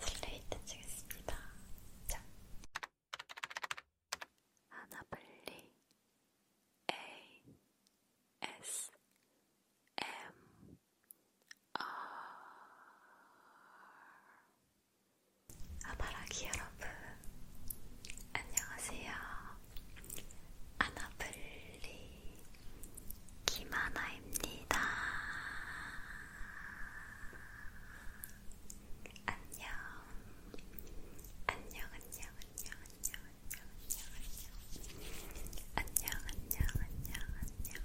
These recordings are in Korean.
슬레이트 치겠습니다. 자. 하나블리 A S M R 아바라기 여러분 안녕하세요. 아나블리 김하나입니다. 안녕. 안녕, 안녕, 안녕, 안녕, 안녕, 안녕, 안녕, 안녕, 안녕, 안녕, 안녕,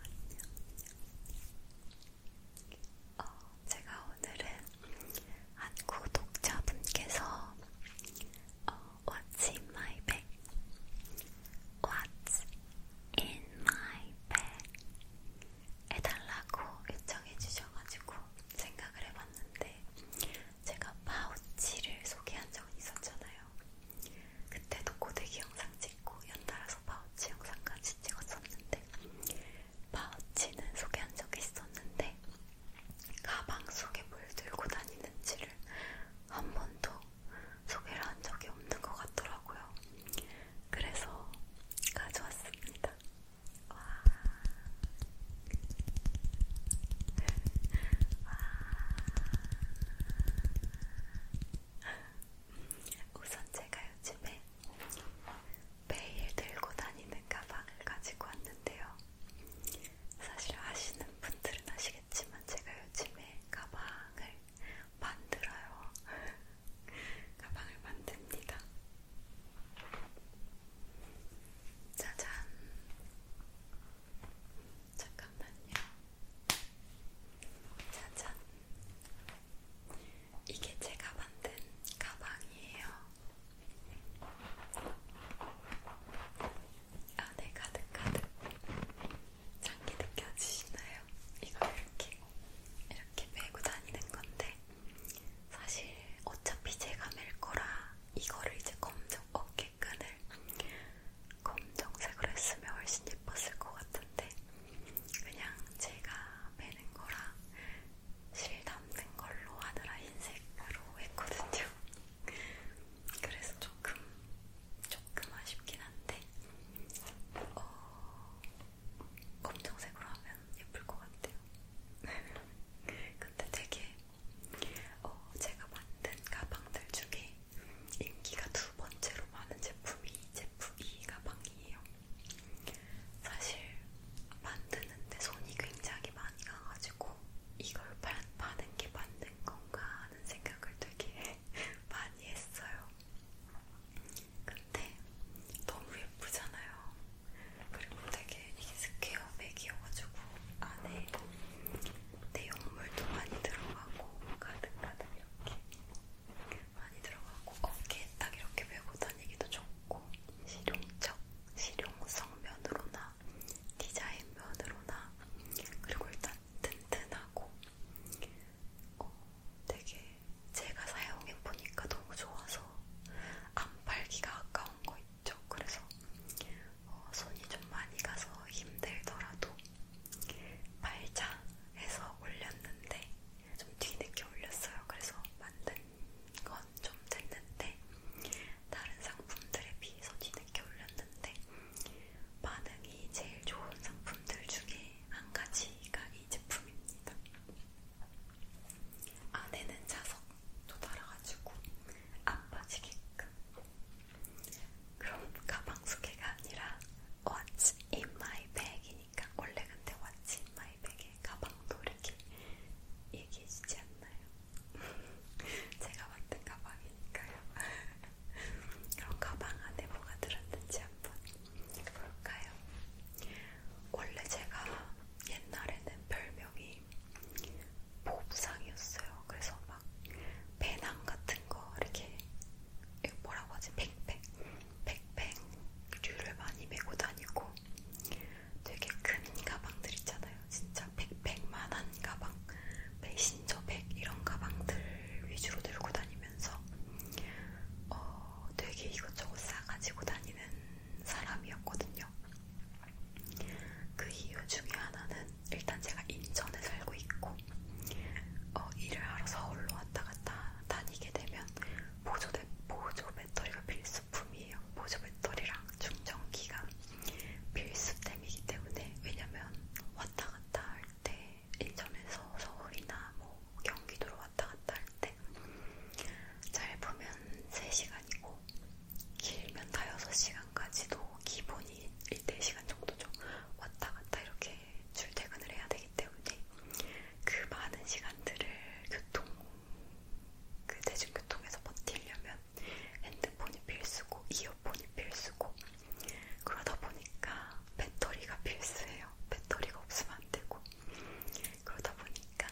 안녕. 어, 제가 오늘은 한 구독자분께서 어, What's in my bag? What's in my bag 해달라고 요청해 주셔가지고 생각을 해봤는데 제가 파우치를 소개한 적은 있었잖아요. 그때도 고데기 영상 찍고 연달아서 파우치 영상까지 찍었었는데 파우치는 소개한 적이 있었는데 가방 속에 뭘 들고 다니는지를 한 번도 소개를 한 적이 없는 것 같더라고요. 그래서 가져왔습니다. 와. 와. 우선 제가 요즘에 매일 들고 다니는 가방을 가지고 왔는데요. 사실 아시는 분들은 아시겠지만 제가 요즘에 가방을 만들어요. 가방을 만듭니다. 짜잔. 잠깐만요. 짜잔. 이게 제가 만든 가방이에요. 안에 아, 네, 가득가득 장기 느껴지시나요? 이걸 이렇게 이렇게 메고 다니는 건데 사실 어차피 제가 멜 거라 이거를 이제 검정 어깨끈을 검정색으로 했으면 훨씬 예뻤을 것 같은데 그냥 제가 매는 거라 실 담는 걸로 하느라 흰색으로 했거든요. 그래서 조금 조금 아쉽긴 한데 어, 검정색으로 하면 예쁠 것 같아요. 근데 되게 어, 제가 만든 가방들 중에 인기가 두 번째로 많은 제품이 제품 이 e 가방이에요. 사실 만드는데 손이 굉장히 많이 가가지고 이걸 파, 파는 게 맞는 건가 하는 생각을 되게 많이 했어요. 근데 너무 예쁘잖아요. 그리고 되게 이게 스퀘어백이어가지고 안에 내용물도 많이 들어가고 가득가득 이렇게 많이 들어가고 어깨에 딱 이렇게 메고 다니기도 좋고 실용적, 실용성 면으로나 디자인 면으로나 그리고 일단 튼튼하고 어, 되게 제가 사용해보니까 너무 좋아서 안 팔기가 아까운 거 있죠. 그래서 어, 손이 좀 많이 가서 힘들더라도 팔자 해서 올렸는데 좀 뒤늦게 올렸어요. 그래서 만든 건 좀 됐는데 다른 상품들에 비해서 뒤늦게 올렸는데 반응이 제일 좋은 상품들 중에 한 가지가 이 제품입니다. 안에는 자석도 달아가지고 안 빠지게끔. 그럼 가방 소개가 아니라 What's in my bag이니까 원래 근데 What's in my bag에 가방도 이렇게 얘기해주지 않나요? 제가 만든 가방이니까요. 그런 가방 안에 뭐가 들었는지 한번 볼까요? 원래 제가 옛날에는 별명이 보부상이었어요. 그래서 막 배낭 같은 거 이렇게 뭐라고 하지? 백팩, 백팩류를 많이 메고 다니고 되게 큰 가방들 있잖아요. 진짜 백팩만한 가방, 메신저백 이런 가방들 위주로 들고 다니면서 어, 되게 이것저것 싸가지고 다니는 사람이었거든요. 그 이유 중에 하나는 일단 제가 인천에 살고 있고 어, 일을 하러 서울로 왔다 갔다 다니게 되면 보조, 대, 보조 배터리가 필수품이에요. 보조 배터리랑 충전기가 필수템이기 때문에 왜냐면 왔다 갔다 할때 인천에서 서울이나 뭐 경기도로 왔다 갔다 할 때 잘 보면 3시간이고 길면 다 6시간까지도 기본이 1-4시간 정도죠. 왔다 갔다 이렇게 출퇴근을 해야 되기 때문에 그 많은 시간들을 교통, 그 대중교통에서 버티려면 핸드폰이 필수고 이어폰이 필수고 그러다 보니까 배터리가 필수예요. 배터리가 없으면 안 되고. 그러다 보니까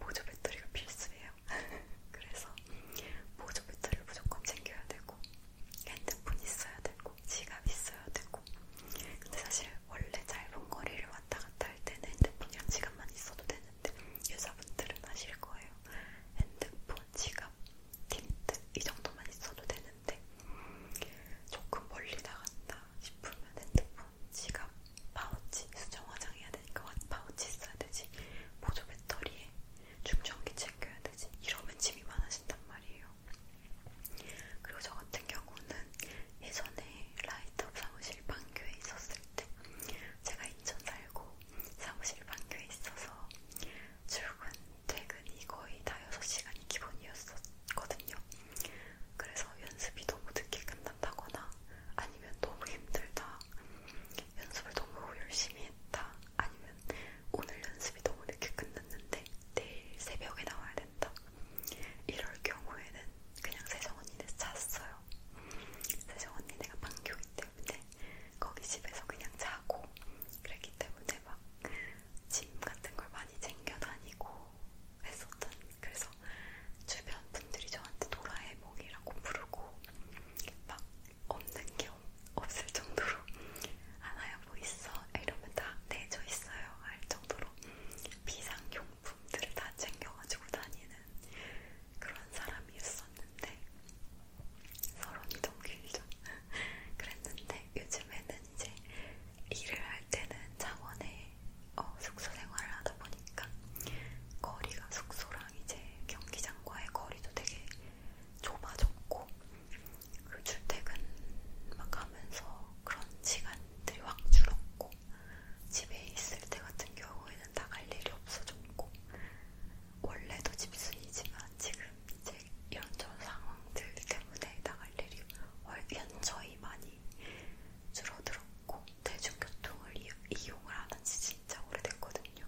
보조 배터리가 필수예요. 그래서 보조 배터리를 무조건 챙겨야 되고, 핸드폰 있어야 되고, 지갑 있어야 되고. 근데 사실 원래 짧은 거리를 왔다 갔다 할 때는 핸드폰이랑 지갑만 있어도 되는데, 여자분들은 아실 거예요. 핸드폰, 지갑, 틴트 이 정도만 있어도 되는데 조금 멀리 나간다 싶으면 핸드폰, 지갑, 파우치 수정 화장해야 되니까 파우치 있어야 되지 보조 배터리에 충전기 챙겨야 되지 이러면 짐이 많아진단 말이에요. 그리고 저 같은 경우는 예전에 라이트업 사무실 반교에 있었을 때 제가 인천 살고 사무실 반교에 있어서 출근 퇴근이 거의 다 6시간이 기본이었거든요. 그래서 연습이 너무 늦게 끝난다거나 아니면 너무 힘들다, 연습을 너무 열심히 했다, 아니면 오늘 연습이 너무 늦게 끝났는데 내일 새벽에 나와야 된다. 이럴 경우에는 그냥 세정 언니네 잤어요. 세정 언니네가 방교기 때문에 거기 집에서 그냥 자고 그랬기 때문에 막짐 같은 걸 많이 챙겨 다니고 했었던 그래서 주변 분들이 저한테 도라에몽이라고 부르고 막 없는 게 없을 정도로 하나야 뭐 있어 이러면 다 내져 있어요 할 정도로 비상용품들을 다 챙겨가지고 다니는 그런 사람이었었는데 서론이 너무 길죠. 그랬는데 요즘에는 이제 일을 할 때는 창원에 어, 숙소 생활을 하다 보니까 거리가 숙소랑 이제 경기장과의 거리도 되게 좁아졌고 그 출퇴근 막 하면서 그런 시간들이 확 줄었고 집에 있을 때 같은 경우에는 나갈 일이 없어졌고 원래도 집순이지만 지금 이제 연전 상황들 때문에 나갈 일이 연저히 많이 줄어들었고 대중교통을 이용을 하는 지 진짜 오래됐거든요.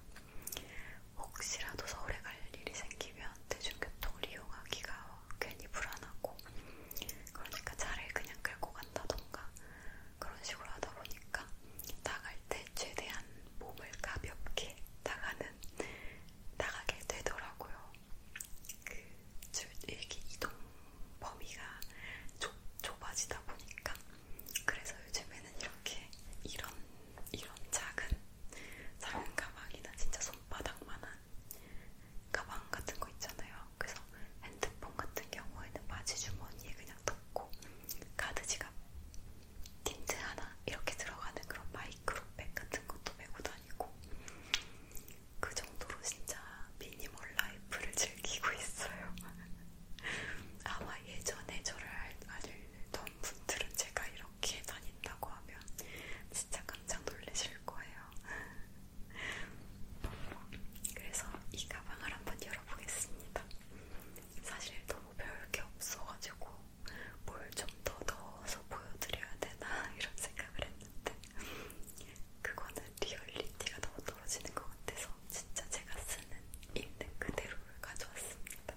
혹시라도 서울에 갈 일이 생기면 대중교통을 이용하기가 괜히 불안하고 그러니까 차를 그냥 끌고 간다던가 그런 식으로 하다 보니까 나갈 때 최대한 몸을 가볍게 나가는 나가게 되더라고요. 그 이렇게 이동 범위가 좁, 좁아지다 보니까 그래서 요즘에는 이렇게 이런 이런 작은 작은 가방이나 진짜 손바닥만한 가방 같은 거 있잖아요. 그래서 핸드폰 같은 경우에는 바지 주머니에 그냥 넣고 카드 지갑 틴트 하나 이렇게 들어가는 그런 마이크로백 같은 것도 메고 다니고 그 정도로 진짜 미니멀 라이프를 즐기고 있어요. 아마 예전에 저를 알던 분들은 제가 이렇게 다닌다고 하면 진짜 깜짝 놀라실 거예요. 그래서 이 가방을 한번 열어보겠습니다. 사실 너무 별게 없어가지고 뭘좀더 넣어서 보여드려야 되나 이런 생각을 했는데 그거는 리얼리티가 너무 떨어지는 것 같아서 진짜 제가 쓰는 있는 그대로를 가져왔습니다.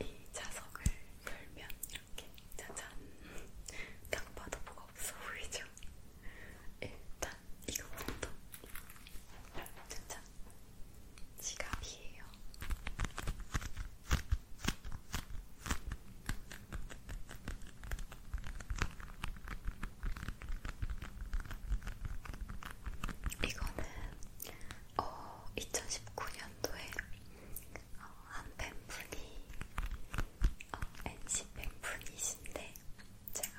이 자석을 열면 이렇게 짜잔 딱 봐도 뭐가 없어 보이죠? 일단 이거부터 짜잔 지갑이에요. 이거는 어, 2019년도에 어, 한 팬분이 어, NC 팬분이신데 제가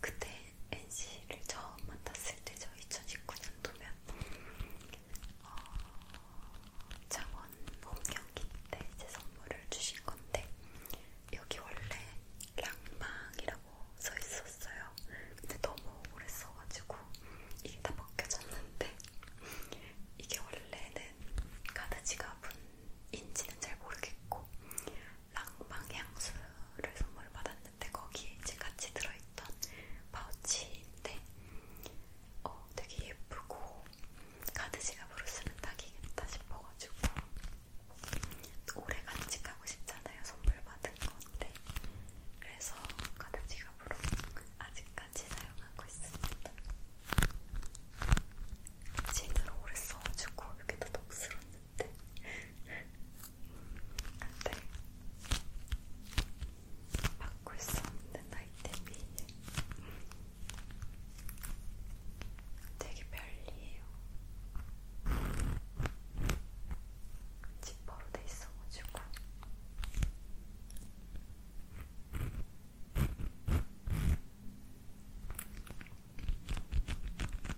그때 NC를 처음 만났을 때저 2019년도면 어, 창원 홈경기 때 제 선물을 주신 건데 여기 원래 랑망이라고 써 있었어요. 근데 너무 오래 써가지고 이게 다 벗겨졌는데 이게 원래는 가드 지갑은 인지는 잘 모르겠고 랑망 향수를 선물을 받았는데 봤는데 거기에 이제 같이 들어있던 파우치인데 어, 되게 예쁘고 가드 지갑으로 쓰면 딱이겠다 싶어가지고 오래 간직하고 싶잖아요. 선물 받은 건데 그래서 가드 지갑으로 아직까지 사용하고 있습니다. 진으로 오래 써가지고 이렇게 다 덥스럽는데 근데 바꿀 수 없는 아이템이 되게 별리해요. 지퍼로 돼 있어가지고.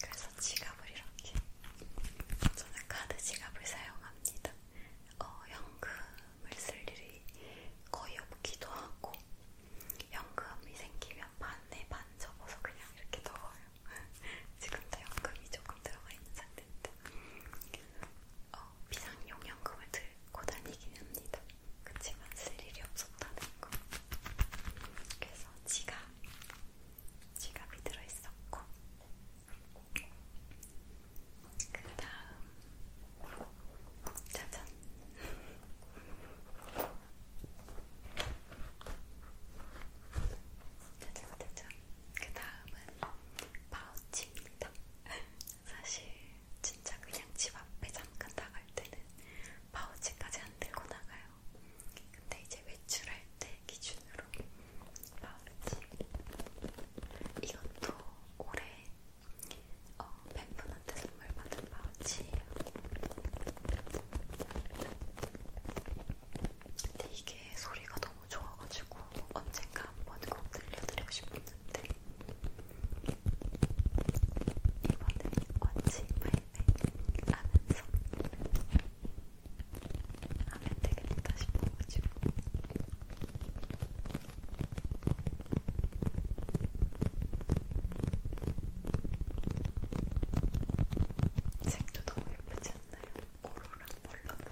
그래서 지갑을 이렇게 저는 카드 지갑을 사용합니다. 어, 현금 연금을 쓸 일이 거의 없기도 하고 연금이 생기면 반에 반 접어서 그냥 이렇게 넣어요. 지금도 연금이 조금 들어가 있는 상태인데 어, 비상용 연금을 들고 다니긴 합니다. 그치만 쓸 일이 없었다는 거. 그래서 지갑, 지갑이 들어있었고 그 다음 짜잔 짜잔 짜잔 그 다음은 파우치입니다 사실 진짜 그냥 집 앞에 잠깐 나갈 때는 파우치까지 안 들고 나가요 근데 이제 외출할 때 기준으로 파우치 이것도 올해 어, 팬분한테 선물 받은 파우치예요. 근데 이게 소리가 너무 좋아가지고 언젠가 한번 꼭 들려드리고 싶었는데 이번에 원치 마이백 하면서 하면 되겠다 싶어가지고 색도 너무 예쁘지 않나요? 고로랑 컬러블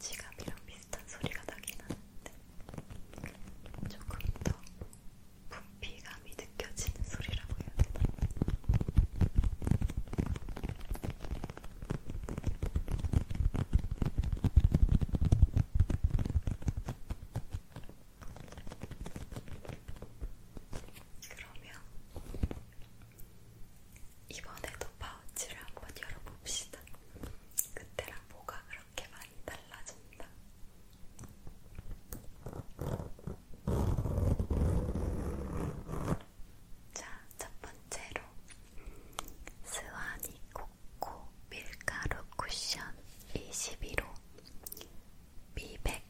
지갑이랑 비슷한 소리가 나긴 하는데 조금 더 분비감이 느껴지는 소리라고 해야 되나? 그러면 이번에도 파우치를 한번 열어봅시다. 그때랑 보강을 그렇게 많이 달라졌다. 자, 첫 번째로 스와니 코코 밀가루 쿠션 21호 미백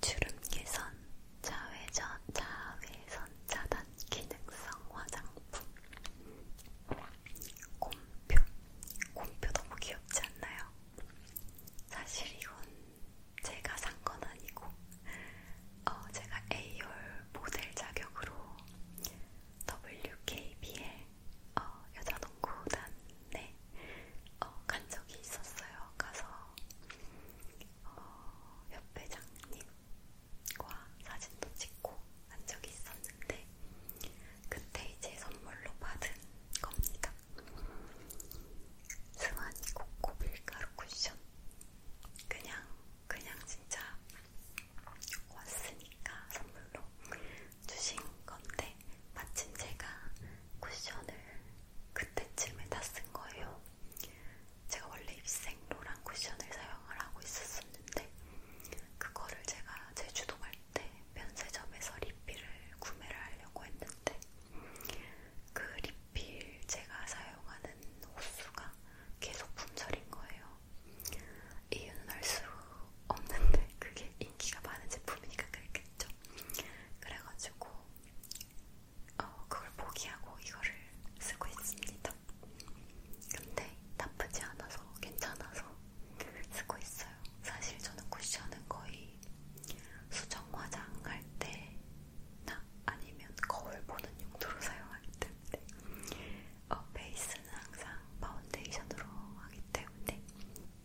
주름 개선 자외전 자외선 차단 기능성 화장품 곰표 곰표 너무 귀엽지 않나요? 사실 이건 제가 산 건 아니고 어, 제가 A열 모델 자격으로 WKBL 어, 여자농구단에 어, 간 적이 있었어요. 가서 어, 협회장님과 사진도 찍고 간 적이 있었는데 그때 이제 선물로 받은 겁니다. 승환이 코코 밀가루 쿠션. 그냥, 그냥 진짜 왔으니까 선물로 주신 건데, 마침 제가 쿠션을 그때쯤에 다 쓴 거예요. 제가 원래 입생로랑 쿠션을 사용을 하고 있었었는데, 그거를 제가 제주도 갈때 네, 면세점에서 리필을 구매를 하려고 했는데 그 리필 제가 사용하는 호수가 계속 품절인 거예요. 이유는 알 수 없는데 그게 인기가 많은 제품이니까 그랬겠죠. 그래가지고 어, 그걸 포기하고 이거를 쓰고 있습니다. 근데 나쁘지 않아서 괜찮아서 쓰고 있어요. 사실 저는 쿠션은 거의 수정 화장할 때나 아니면 거울 보는 용도로 사용하기 때문에 어, 베이스는 항상 파운데이션으로 하기 때문에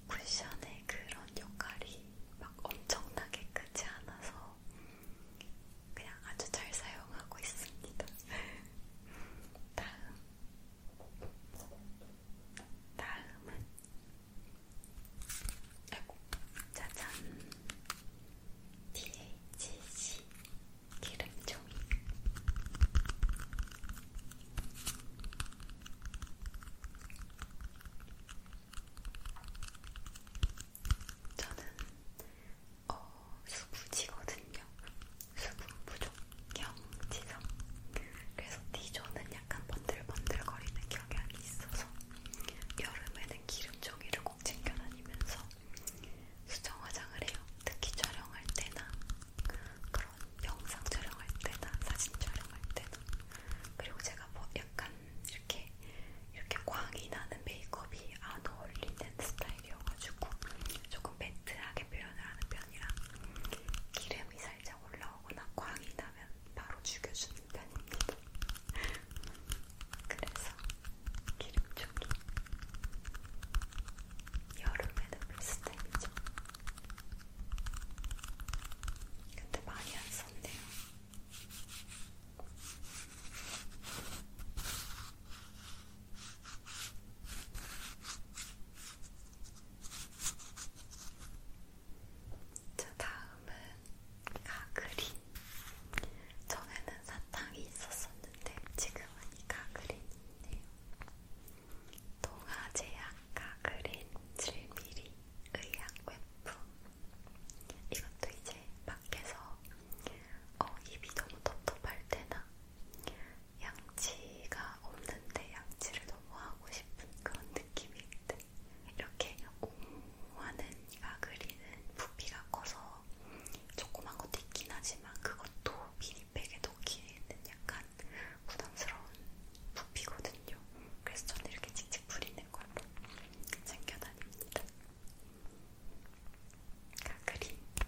쿠션의 그런 역할이 막 엄청나게 크지 않아서 그냥 아주 잘 사용하고 있습니다. 다음 다음은 아이고 짜잔 DHC 기름종이 저는 어, 수부지거든요. 수분 부족 경지성. 그래서 디조는 약간 번들번들거리는 경향이 있어서 여름에는 기름종이를 꼭 챙겨다니면서 수정 화장을 해요. 특히 촬영할 때나 그런 영상 촬영할 때나 사진 촬영할 때나 그리고 제가 뭐 약간 이렇게 이렇게 광이 나는 메이크업이 안 어울리는 스타일이어가지고 조금 매트하게 표현을 하는 편이라 기름 기름이 살짝 올라오거나 광이 나면 바로 죽여주는 편입니다. 그래서 기름초기 여름에도 베스트이죠. 근데 많이 안 썼네요. 자, 다음은 가그린. 전에는 사탕이 있었었는데 지금은 이 가그린이 있네요. 동아제약 가그린 7mm 의약 웹품. 이것도 이제 밖에서 어, 입이 너무 텁텁할 때나 양치가 없는데 양치를 너무 하고 싶은 그런 느낌이 있대. 이렇게 옹호하는 아그리는 부피가 커서 조그만 것도 있긴 하지만 그것도 미니백에 넣기는 약간 부담스러운 부피거든요. 그래서 저는 이렇게 칙칙 부리는 걸로 챙겨다닙니다. 가그린 아,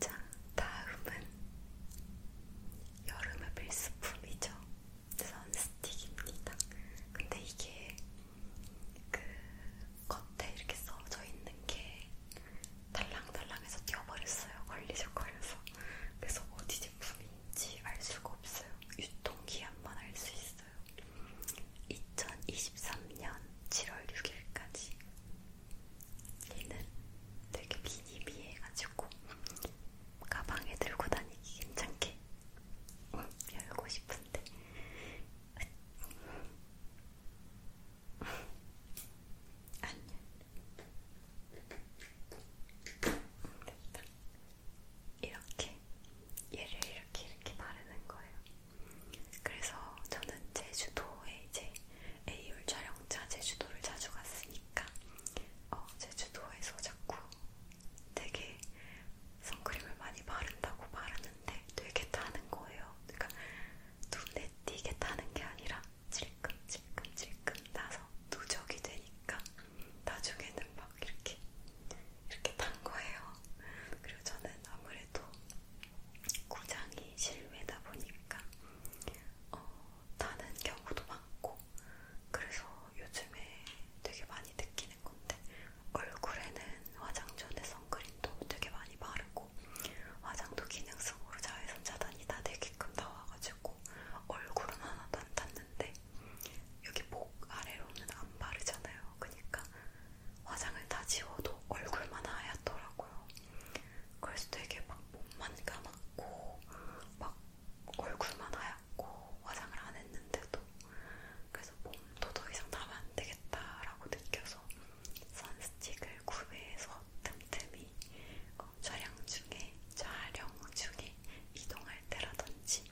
자, 다음은 여름의 필수품이죠. 선스틱입니다. 근데 이게 그 겉에 이렇게 써져 있는 게 달랑달랑해서 뛰어버렸어요. 걸리적거려서. 그래서 어디 제품인지 알 수가 없어요. 유통기한만 알 수 있어요. 2023년 7월 6일까지. 얘는 되게 미니미해가지고 가방에 들고 다니기 괜찮게 열고 싶은데 안녕. 됐다. 이렇게 얘를 이렇게 이렇게 바르는 거예요. 그래서 저는 제주도에 이제 AR 촬영차 제주도를 자주 갔으니까 어, 제주도에서 자꾸 되게 선크림을 많이 바른다고 바르는데 되게 타는 거예요. 그러니까 눈에 띄게 타는 게 아니라 질끔질끔질끔 나서 누적이 되니까 나중에는 막 이렇게 이렇게 탄 거예요. 그리고 저는 아무래도 고장이 실외다 보니까 어, 타는 경우도 많고 그래서 요즘에 되게 많이 느끼는 건데 얼굴에는 화장 전에서 선크림도 되게 많이 바르고 화장도 기능성으로 자외선 차단이 다 되게끔 나와가지고 얼굴은 하나도 안 탔는데 여기 목 아래로는 안 바르잖아요. 그러니까 화장을 다 지워도 얼굴만 하얗더라고요. 그래서 되게 막 몸만 감았고 막 얼굴만 하얗고 화장을 안 했는데도 그래서 몸도 더 이상 담으면 안 되겠다라고 느껴서 선스틱을 구매해서 틈틈이 어, 촬영 중에, 촬영 중에 이동할 때라든지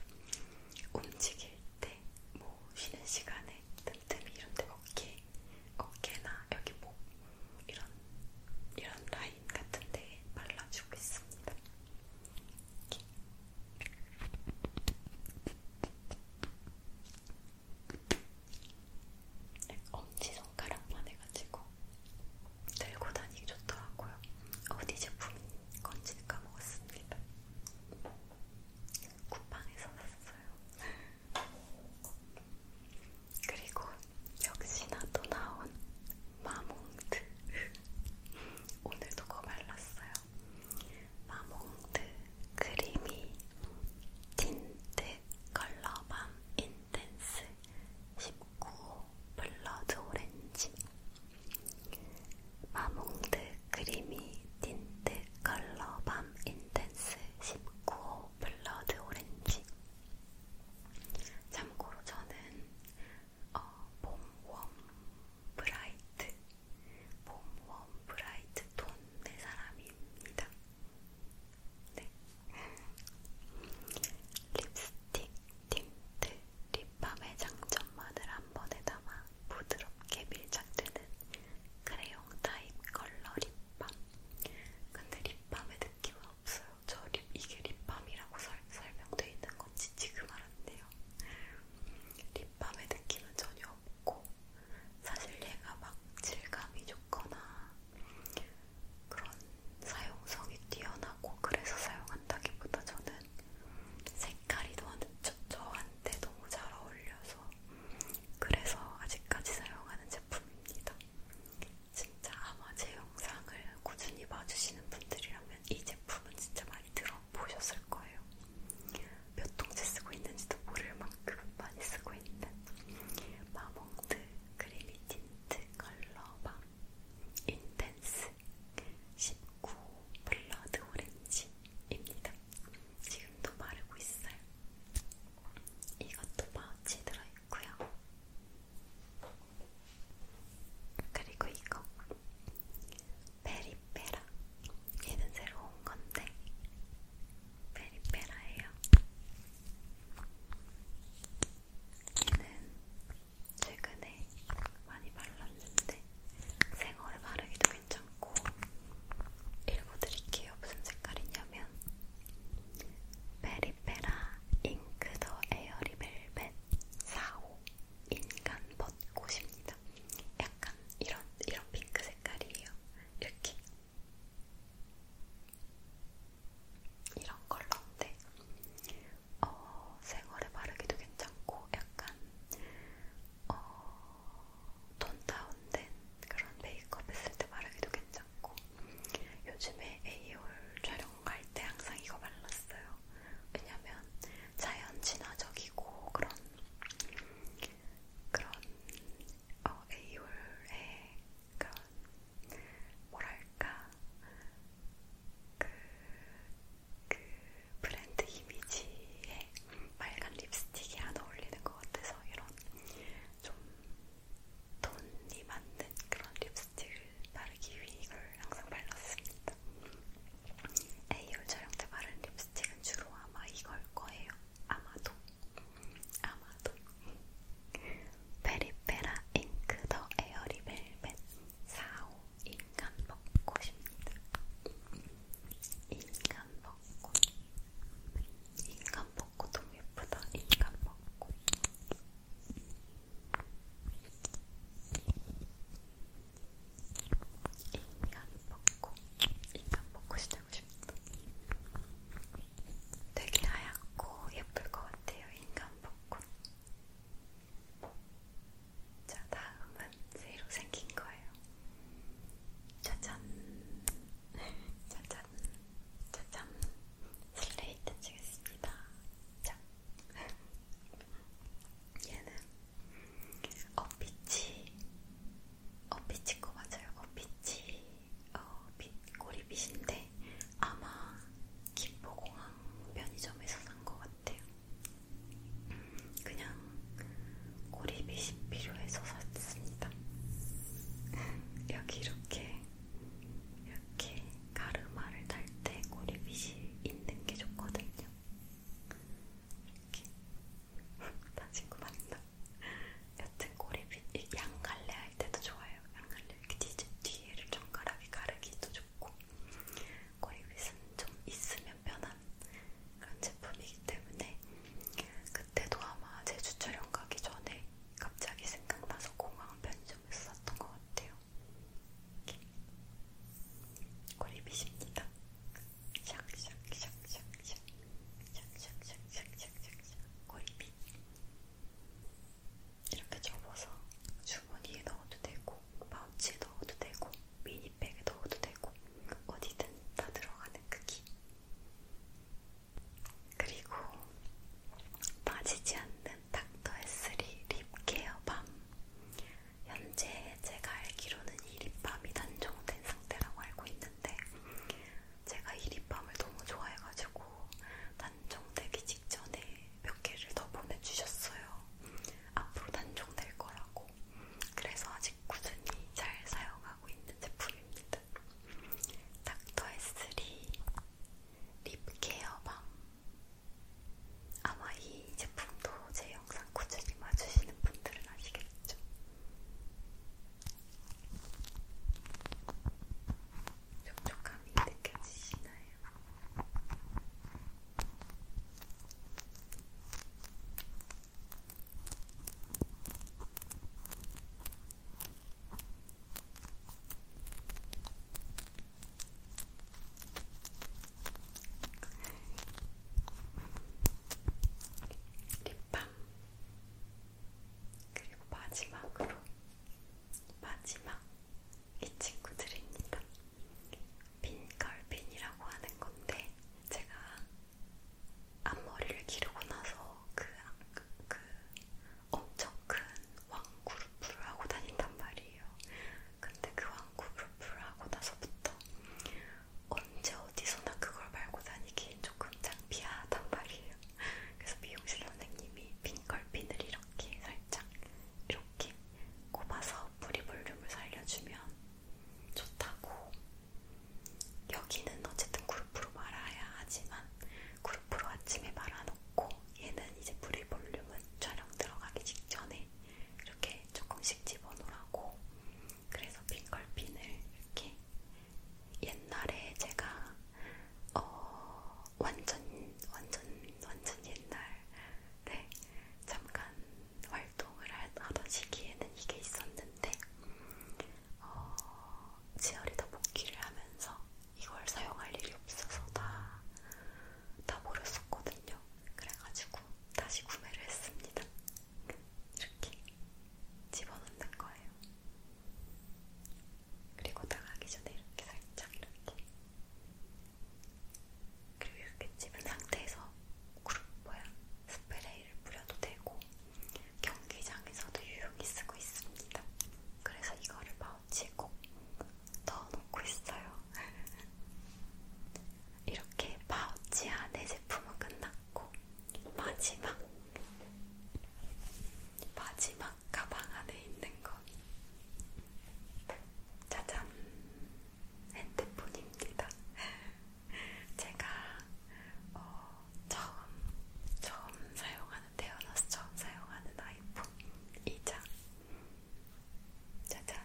움직일 때, 뭐 쉬는 시간에 틈틈이 이런데 어깨, 어깨나 여기 목 이런 이런 라인 같은데 발라주고 있습니다. 이렇게. 엄지손가락만 해가지고 들고 다니기 좋더라고요. 어디 제품인 건지 까먹었습니다. 쿠팡에서 샀어요. 그리고 역시나 또 나온 마몽드 오늘도 거 발랐어요. 마몽드 크리미 틴트 컬러밤 인텐스 19호 블러드 오렌지 마몽드 크리미 틴트 컬러밤 인텐스 19호 블러드 오렌지 참고로 저는 어, 봄웜 브라이트 봄웜 브라이트 톤의 사람입니다. 네. 립스틱, 틴트, 립밤의 장점만을 한 번에 담아 부드럽게 밀착되는 크레용 타입 컬러 립밤. 근데 립밤의 느낌은 없어요. 저 립, 이게 립밤이라고 설, 설명되어 있는 건지 지금 알았네요. 립밤의 느낌은 전혀 없고 사실 얘가 막 질감이 좋거나 그런 사용성이 뛰어나고 그래서 사용한다기보다 저는 색깔이 저, 저한테 너무 잘 어울려서 그래서 아직까지 사용하는 제품입니다. 진짜 아마 제 영상을 꾸준히 봐주시는 분들이라면 이 제품은 진짜 많이 들어보셨을 거예요. 몇 통째 쓰고 있는지도 모를 만큼 많이 쓰고 있는 마몽드 크리미 틴트 컬러밤 인텐스 19 블러드 오렌지입니다. 지금도 바르고 있어요. 이것도 파우치 들어있고요. 그리고 이거 베리페라 얘는 새로 온 건데 페리페라예요. 얘는 최근에 많이 발랐는데 생얼에 바르기도 괜찮고 읽어드릴게요. 무슨 색깔이냐면 페리페라 잉크 더 에어리 벨벳 4호 인간 벚꽃입니다. 약간 이런 이런 핑크 색깔이에요. 이렇게 이런 컬러인데 네. 어, 생얼에 바르기도 괜찮고 약간 어, 톤 다운된 그런 메이크업 했을 때 바르기도 괜찮고 요즘에 에이올 촬영할 때 항상 이거 발랐어요. 왜냐면 자연 친화적이고 그런 그런 어, 에이홀의 그런 뭐랄까 그, 그 브랜드 이미지에 빨간 립스틱이 안 어울리는 것 같아서 이런 좀 돈이 맞는 그런 립스틱을 바르기 위해 이걸 항상 발랐습니다. 에이홀 촬영 때 바른 립스틱은 주로 아마 이걸 거예요. 아마도 아마도 페리페라 잉크 더 에어리벨벳 4호 인간 벚꽃입니다. 인간 벚꽃 인간 벚꽃 너무 예쁘다. 인간 벚꽃 인간 벚꽃 인간 벚꽃이 만들고 싶다. 되게 하얗고 예쁠 것 같아요. 인간 벚꽃. 자, 다음은 새로 생긴 거예요. 짜잔. 짜잔. 짜잔. 슬레이트 치겠습니다. 자. 얘는 어빛이 어피치코 맞아요. 어피치 어, 빛, 꼬리빗인데 아마 김포공항 편의점에서 산것 같아요. 음, 그냥 꼬리빗이 필요해서 샀습니다. 여기 이렇게 이렇게 가르마를 달때 꼬리빗이 있는 게 좋거든요. 이렇게 다친구 맞나? 여튼 꼬리빗 양갈래 할 때도 좋아요. 양갈래 이렇게 뒤, 뒤를 정갈하게 가르기도 좋고 꼬리빗은 좀 있으면 편한 그런 제품이기 때문에 그때도 아마 제주 촬영 가기 전에 갑자기 생각나서 공항 편의점에서 샀던 것 같아요. 꼬리빗입니다. 샥샥샥샥샥샥샥샥샥샥샥샥샥샥샥샥 꼬리핀 이렇게 접어서 주머니에 넣어도 되고 파우치에 넣어도 되고 미니백에 넣어도 되고 어디든 다 들어가는 크기 그 그리고 빠지지 않는 닥터에스리 립케어 밤 현재 제가 알기로는 이 립밤이 단종된 상태라고 알고 있는데 제가 이 립밤을 너무 좋아해가지고 단종되기 직전에 몇 개를 더 보내주셨어요. 앞으로 단종될 거라고. 그래서 아직 꾸준히 잘 사용하고 있는 제품입니다. 닥터에스리 립케어밤 아마 이 제품도 제 영상 영상 꾸준히 봐주시는 분들은 아시겠죠? 촉촉함이 느껴지시나요? 립밤 그리고 마지막으로 마지막 이 친구들입니다. 빈갈빈이라고 하는 건데 제가 앞머리를 기르고 나서 그, 그, 그 엄청 큰 왕구루프를 하고 다닌단 말이에요. 근데 그 왕구루프를 하고 나서부터 언제 어디서나 그걸 말고 다니기 조금 창피하단 말이에요. 그래서 미용실 선생님이 핑걸핀을 이렇게 살짝 이렇게 꼽아서 뿌리 볼륨을 살려주면 좋다고. 여기는 어쨌든 그룹으로 말아야 하지만 그룹으로 아침에 말아놓고 얘는 이제 뿌리 볼륨은 촬영 들어가기 직전에 이렇게 조금씩 집어넣으라고 그래서 핑걸핀을 이렇게 옛날에 제가 어, 완전 완전 완전 옛날에 잠깐 활동을 하던 시기에는 이게 있었는데 어, 치어리더 복귀를 하면서 이걸 사용할 일이 없어서 다, 다 버렸었거든요. 그래가지고 다시 구매를 했습니다. 이렇게 집어넣는 거예요. 그리고 나가기 전에 이렇게 살짝 이렇게 그리고 이렇게 집은 상태에서 구름 모양 스프레이를 뿌려도 되고 경기장에서도 유용히 쓰고 있습니다. 그래서 이거를 파우치에 꼭 넣어놓고 있어요. 이렇게 파우치 안에 제품은 끝났고 마지막 마지막 가방 안에 있는 것 짜잔 핸드폰입니다. 제가 어, 처음 처음 사용하는 태어나서 처음 사용하는 아이폰이자 짜잔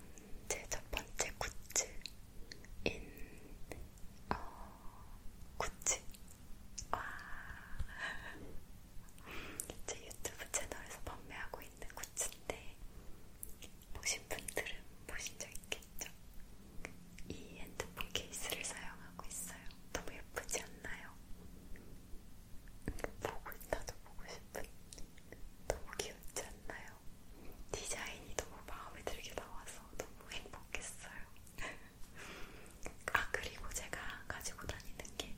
제 첫 번째 굿즈 인, 어, 구찌. 와. 제 유튜브 채널에서 판매하고 있는 구찌인데, 보신 분들은 보신 적 있겠죠? 이 핸드폰 케이스를 사용하고 있어요. 너무 예쁘지 않나요? 보고 있다도 보고 싶은 너무 귀엽지 않나요? 디자인이 너무 마음에 들게 나와서 너무 행복했어요. 아, 그리고 제가 가지고 다니는 게,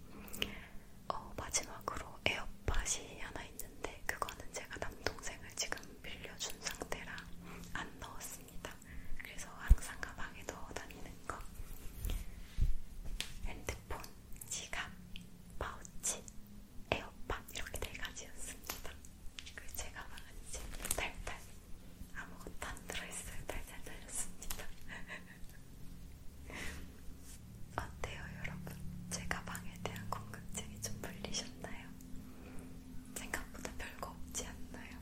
어, 마지막으로 에어팟이 하나 있는데, 그거는 제가 남동생을 지금 빌려준 상태라 안 넣었습니다. 그래서 항상 가방에 넣어 다니는 거. 핸드폰, 지갑, 파우치, 에어 계란빵 이렇게 네 가지였습니다. 그 제가 먹은 집 달달 아무것도 안 들어있어요. 달달 달렸습니다. 어때요, 여러분? 제가 방에 대한 궁금증이 좀 풀리셨나요? 생각보다 별거 없지 않나요?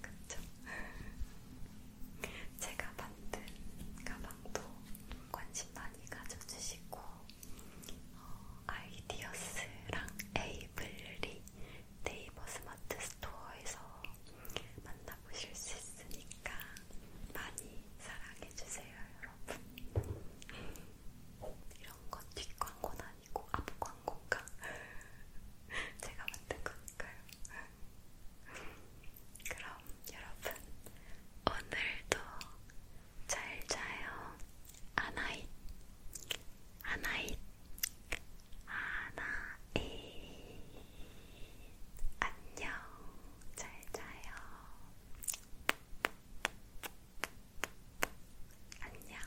그쵸? 제가 만든 가방도 관심 많이 가져주시고 어, 아이디어스랑 에이블리 네이버 스마트 스토어에서 만나보실 수 있으니까 많이 사랑해주세요, 여러분. 이런 건 뒷광고는 아니고 앞광고인가? 제가 만든 거니까요. 그럼 여러분, 오늘도 잘 자요. 아나잇 아나잇 아나잇 안녕 잘 자요 안녕